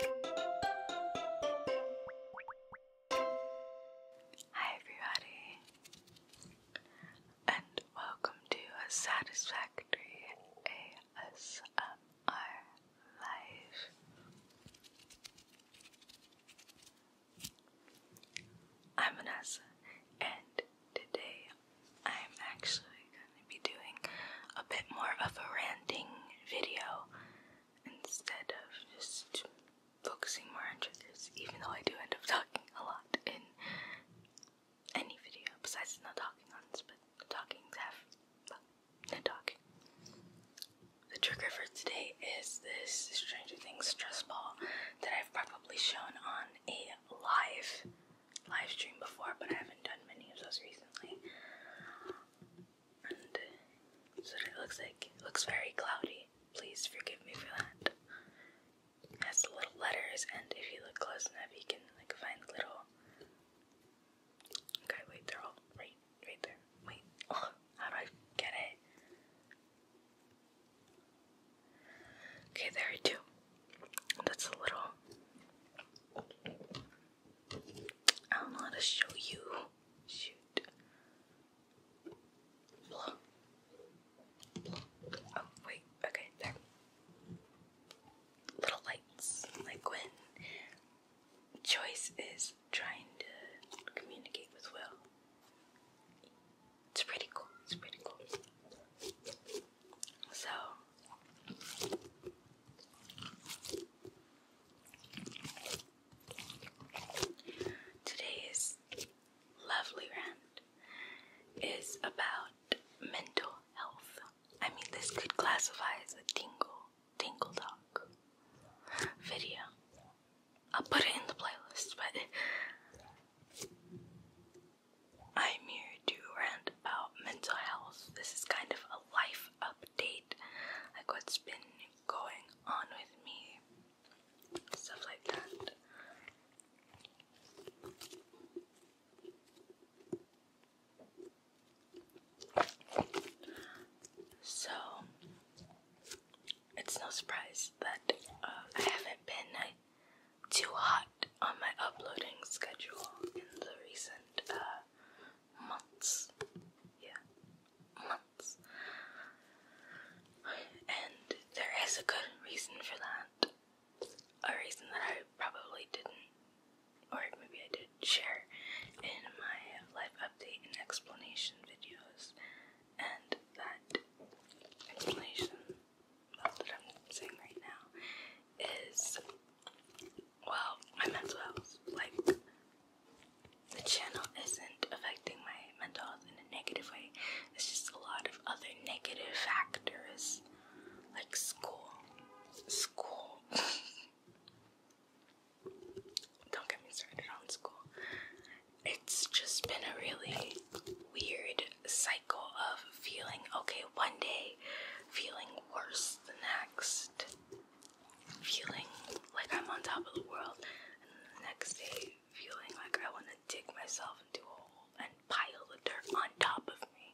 Hi, everybody, and welcome to a satisfactory ASMR live. I'm Vanessa, and today I'm actually going to be doing a bit more of a ranting video instead of just focusing more on triggers, even though I do end up talking a lot in any video besides not talking ones, but the talking's half, no talking. The trigger for today is this Stranger Things stress ball that I've probably shown on a live live stream before, but I haven't done many of those recently and it looks like. looks very cloudy. Please forgive me for that. has little letters, and if you look close enough, you can like find little. Okay, wait, they're all right, right there. Wait, oh, how do I get it? Okay, there are two. That's a little I don't know how to show you. Shoot. Oh, wait. Okay, there. Little lights. Like when Choice is trying to communicate with Will. It's pretty cool. It's pretty cool. So. Today's lovely rant is about mental health. I mean, this could classify as a tingle, tingle talk video. I'll put it in the playlist, but I'm here to rant about mental health. This is kind of a life update, like what's been going on with me, stuff like that. So, it's no surprise that uh, I haven't been too hot on my uploading schedule in the recent uh, months. Yeah, months. And there is a good reason for that. A reason that I probably didn't, or maybe I did share in my life update and explanation videos. And that explanation, that's I'm saying right now, is well, my mental health. Like the channel isn't affecting my mental health in a negative way. It's just a lot of other negative factors like school. School. Don't get me started on school. It's just been a really weird cycle of feeling okay one day, feeling worse the next, feeling like I'm on top of the world, and the next day, feeling like I want to dig myself into a hole and pile the dirt on top of me.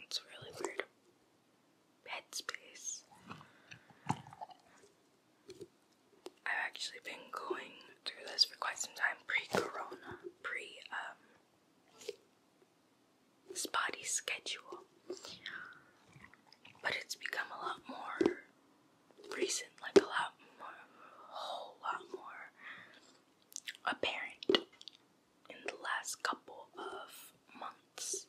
It's really weird headspace. I've actually been going through this for quite some time pre-corona, pre um, spotty schedule. But it's become a lot more recent, like a lot more a whole lot more apparent in the last couple of months.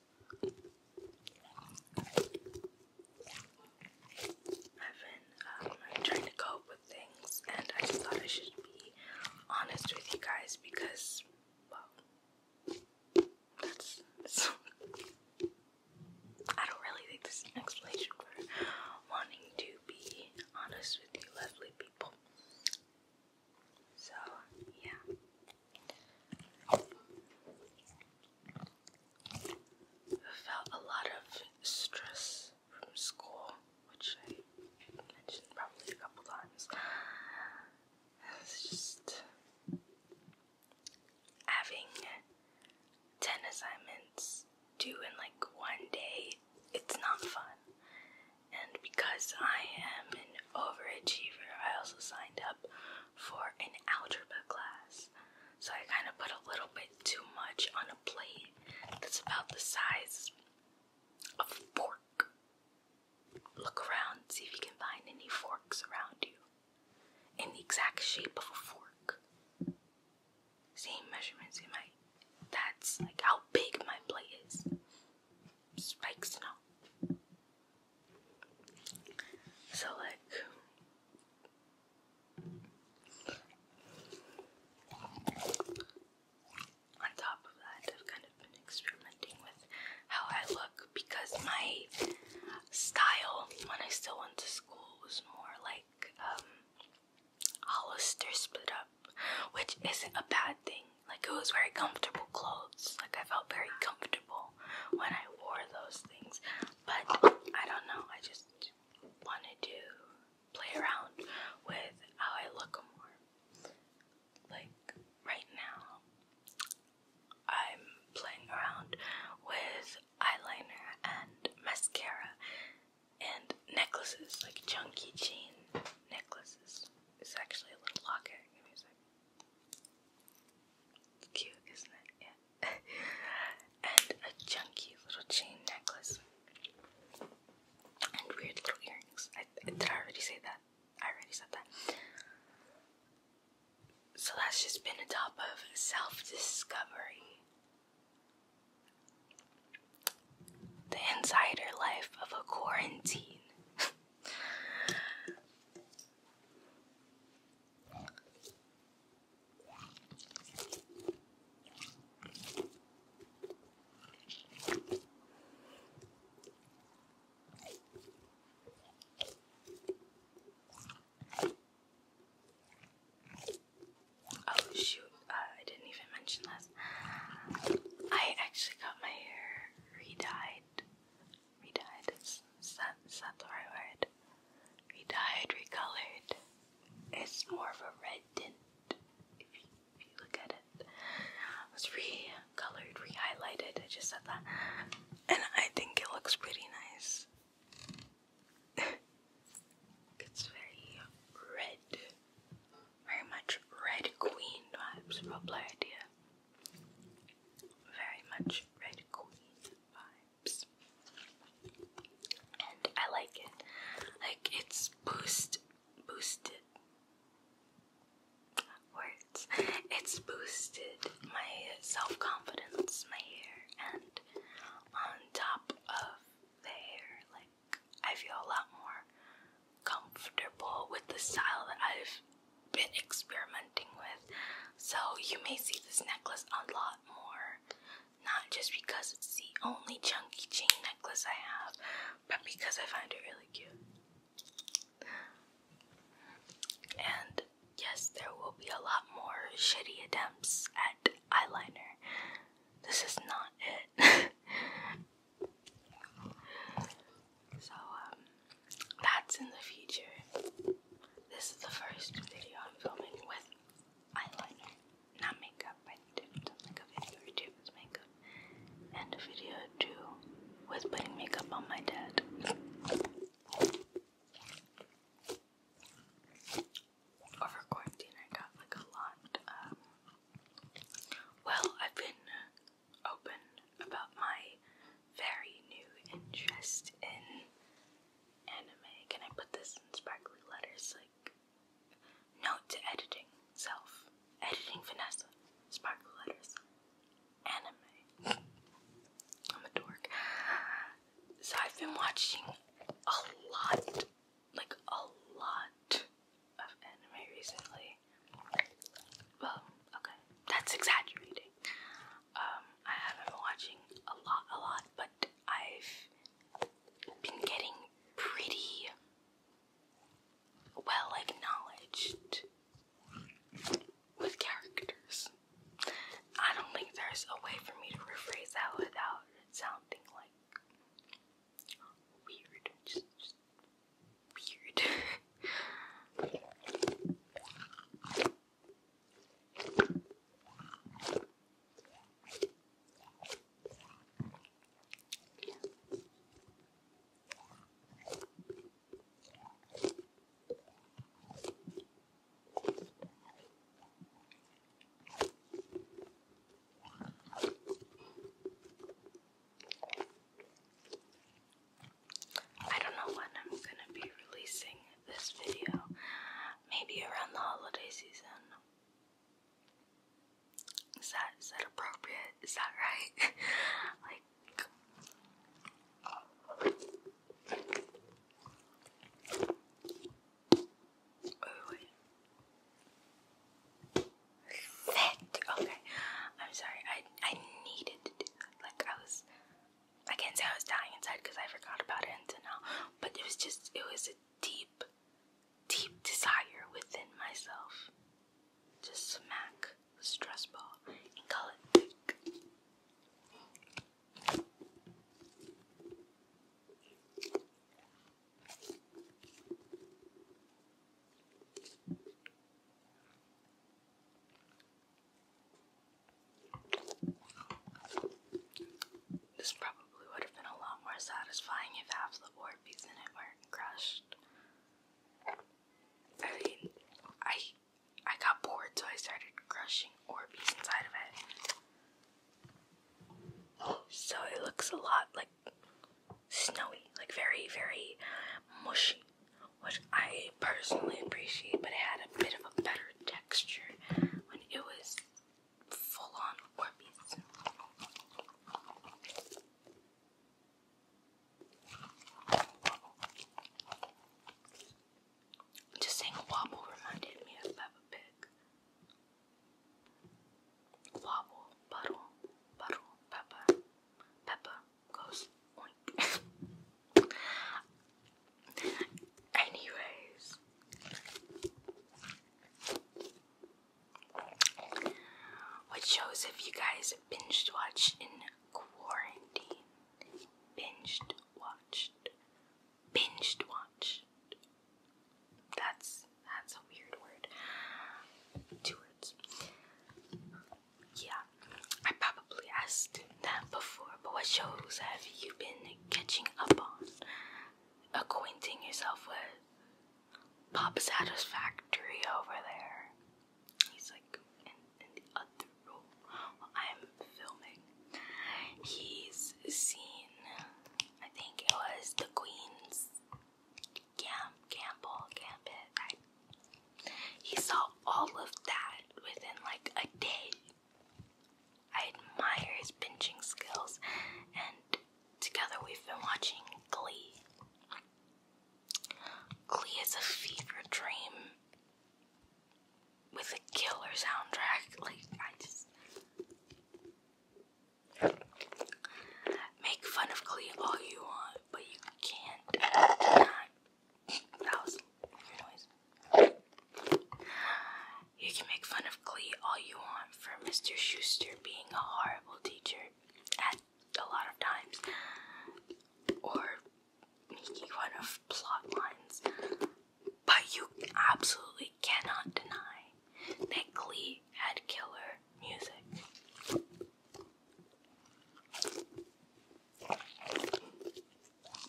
I've been um, trying to cope with things, and I just thought I should be honest with you guys because, well, that's I don't really think this is an explanation for wanting to be honest with you, lovely people. So, yeah felt a lot of stress from school, which I mentioned probably a couple times. just having 10 assignments due in like one day, it's not fun. And because I am an overachiever, I also signed up for an algebra class. So I kind of put a little bit too much on a plate that's about the size of a fork. Look around, see if you can find any forks around you in the exact shape of a fork. Same measurements in my. That's like how big my plate is. Spikes and all. So like on top of that, I've kind of been experimenting with how I look because my style when I still went to school was more like um, Hollister split up, which isn't a bad thing. Like I was wearing comfortable clothes. Like I felt very comfortable when I wore those things. But I don't know. I just wanted to play around with how I look more. Like right now, I'm playing around with eyeliner and mascara and necklaces, like chunky chain necklaces. It's actually a little locket. It's cute, isn't it? and a chunky little chain necklace. And weird little earrings. I, did I already say that? I already said that. So that's just been a top of self discovery. The insider life of a quarantine. Oh shoot, uh, I didn't even mention this. I actually got my hair re redied. Is that, is that the right word? Redied, recolored. It's more of a red tint if you, if you look at it. It was recolored, rehighlighted. I just said that, and I think it looks pretty nice. it's very red, very much red queen vibes. Probably idea. Very much Red Queen vibes. And I like it. Like it's boost boosted words. It's boosted my self-confidence, my hair, and on top of the hair, like I feel a lot more comfortable with the style that I've been experimenting with. So you may see this necklace a lot more. Not just because it's the only chunky chain necklace I have, but because I find it really cute. And yes, there will be a lot more shitty attempts at eyeliner. This is not it. So, um, that's in the future. This is the first video I'm filming with eyeliner, not makeup. I did like a video or two with makeup, and a video or with putting makeup on my dad. Over quarantine, I got like a lot. Um, well, I've been open about my very new interest in anime. Can I put this in sparkly letters? Like, note to editing self, editing Vanessa, sparkly letters, anime. I'm a dork. So I've been watching a lot, like a lot of anime recently. Well, okay, that's exaggerating. Um, I haven't been watching a lot, a lot, but I've been getting pretty well acknowledged with characters. I don't think there's a way for me to rephrase that without sounding like weird weird. I don't know when I'm gonna be releasing this video. Maybe around the holiday season. Is that is that appropriate? Is that right? like Okay. I'm sorry. I I needed to do that. Like I was I can't say I was dying inside because I forgot about it until now. But it was just it was a deep, deep desire within myself. Just smack the stress ball and call it this probably would have been a lot more satisfying if half the Orbeez in it weren't crushed. I mean, I I got bored, so I started crushing Orbeez inside of it. So it looks a lot like snowy, like very, very mushy, which I personally appreciate, but it had a bit of a better texture when it was full on Orbeez. Just saying wobble reminded me of Peppa Pig wobble, puddle, puddle, pepper, pepper goes Anyways, what shows have you guys binged watched in quarantine? Binged watched. Binged watched. That's that's a weird word. Two words. Yeah, I probably asked that before, but what shows have you been catching up on? Acquainting yourself with Pop Satisfactory over there. He's like in, the other room I'm filming. He's seen, I think it was the Queen's Gam Gamble Gambit. he saw all of that within like a day. I admire his pinching skills, and together we've been watching Glee. Glee is a fever dream with a killer soundtrack. Like I just Make fun of Glee all you want, but you can't not. That was your noise. You can make fun of Glee all you want for Mr. Schuster being a horrible teacher at a lot of times, or making fun of plot lines, but you absolutely cannot deny that had killer music.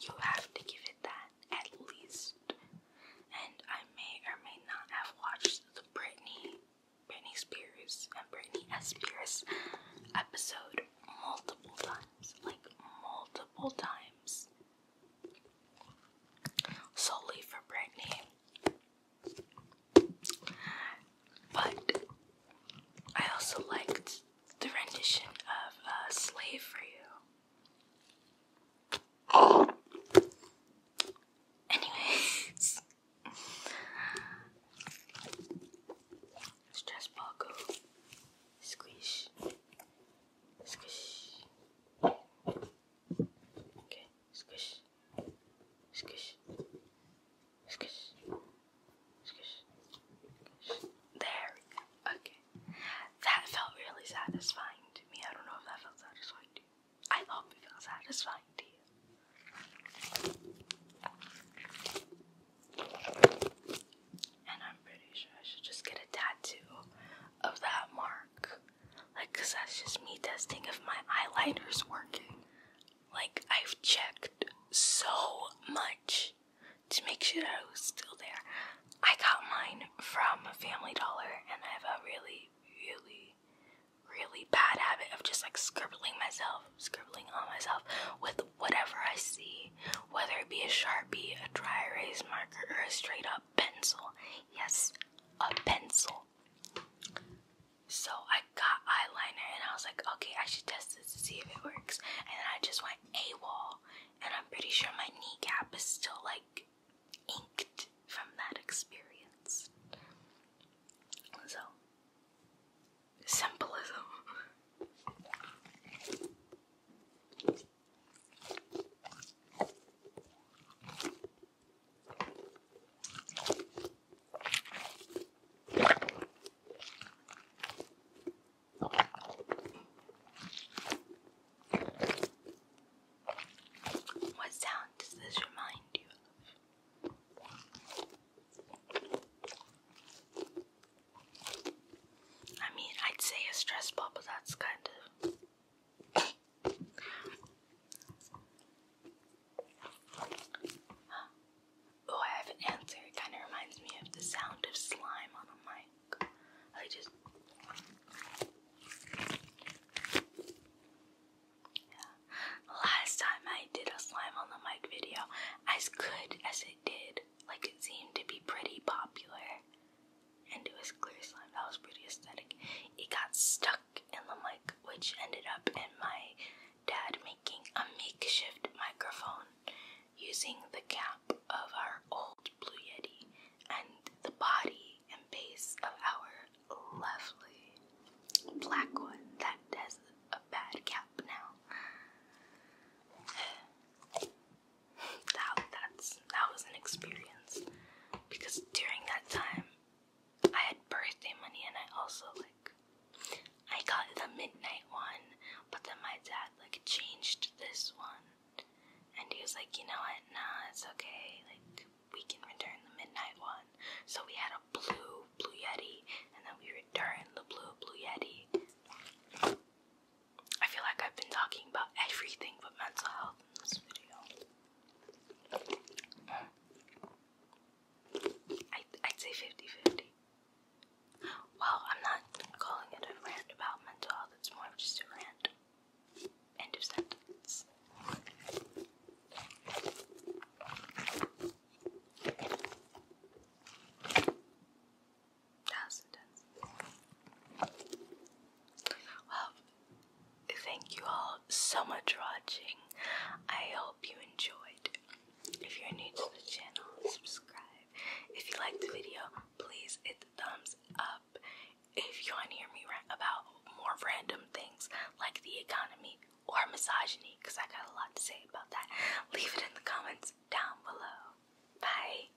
You have to give it that, at least. And I may or may not have watched the Britney, Britney Spears and Britney Spears episode multiple times. Like, multiple times. Solely for Britney. But I also liked the rendition of uh, Slave for You. Anyways, let ball go. Squish. Squish. Okay. Squish. Squish. Squish. Squish. There we go. Okay. That felt really satisfying to me. I don't know if that felt satisfying to you. I hope it felt satisfying to you. And I'm pretty sure I should just get a tattoo of that mark like, cause that's just me testing if my eyeliner is working. Like, I've checked so much to make sure that it was still there. I got mine from Family Dollar, and I have a really, really, really bad habit of just like scribbling myself, scribbling on myself with whatever I see, whether it be a Sharpie, a dry erase marker, or a straight up pencil. Yes, a pencil. So I got eyeliner and I was like, okay, I should test this to see if it works. And then I just went a wall, and I'm pretty sure my kneecap is still like inked from that experience. So symbolism. What sound does this remind you of? I mean, I'd say a stress ball, but that's kind of Oh, I have an answer. It kind of reminds me of the sound of slime on a mic. I just. Yeah. Last time I did a slime on the mic video, as good as it did, like it seemed to be pretty popular and do his clear slime. That was pretty aesthetic. It got stuck in the mic, which ended up in my dad making a makeshift microphone using the cap of our old Blue Yeti and the body and base of our lovely black one that has a bad cap now. that, that's that was an experience because during that time I had birthday money and I also like I got the midnight one, but then my dad like changed this one. And he was like, you know what, nah, it's okay, like we can return the midnight one. So we had a blue blue yeti and then we returned the blue blue yeti. I feel like I've been talking about everything but mental health I, would say 50-50. Well, I'm not calling it a rant about mental health, it's more just a rant. End of sentence. That was intense. Well, Thank you all so much for watching. I hope you enjoyed. If you're new to the channel, subscribe. If you like the video, please hit the thumbs up. If you want to hear me rant about more random things like the economy or misogyny, because I got a lot to say about that, leave it in the comments down below. Bye.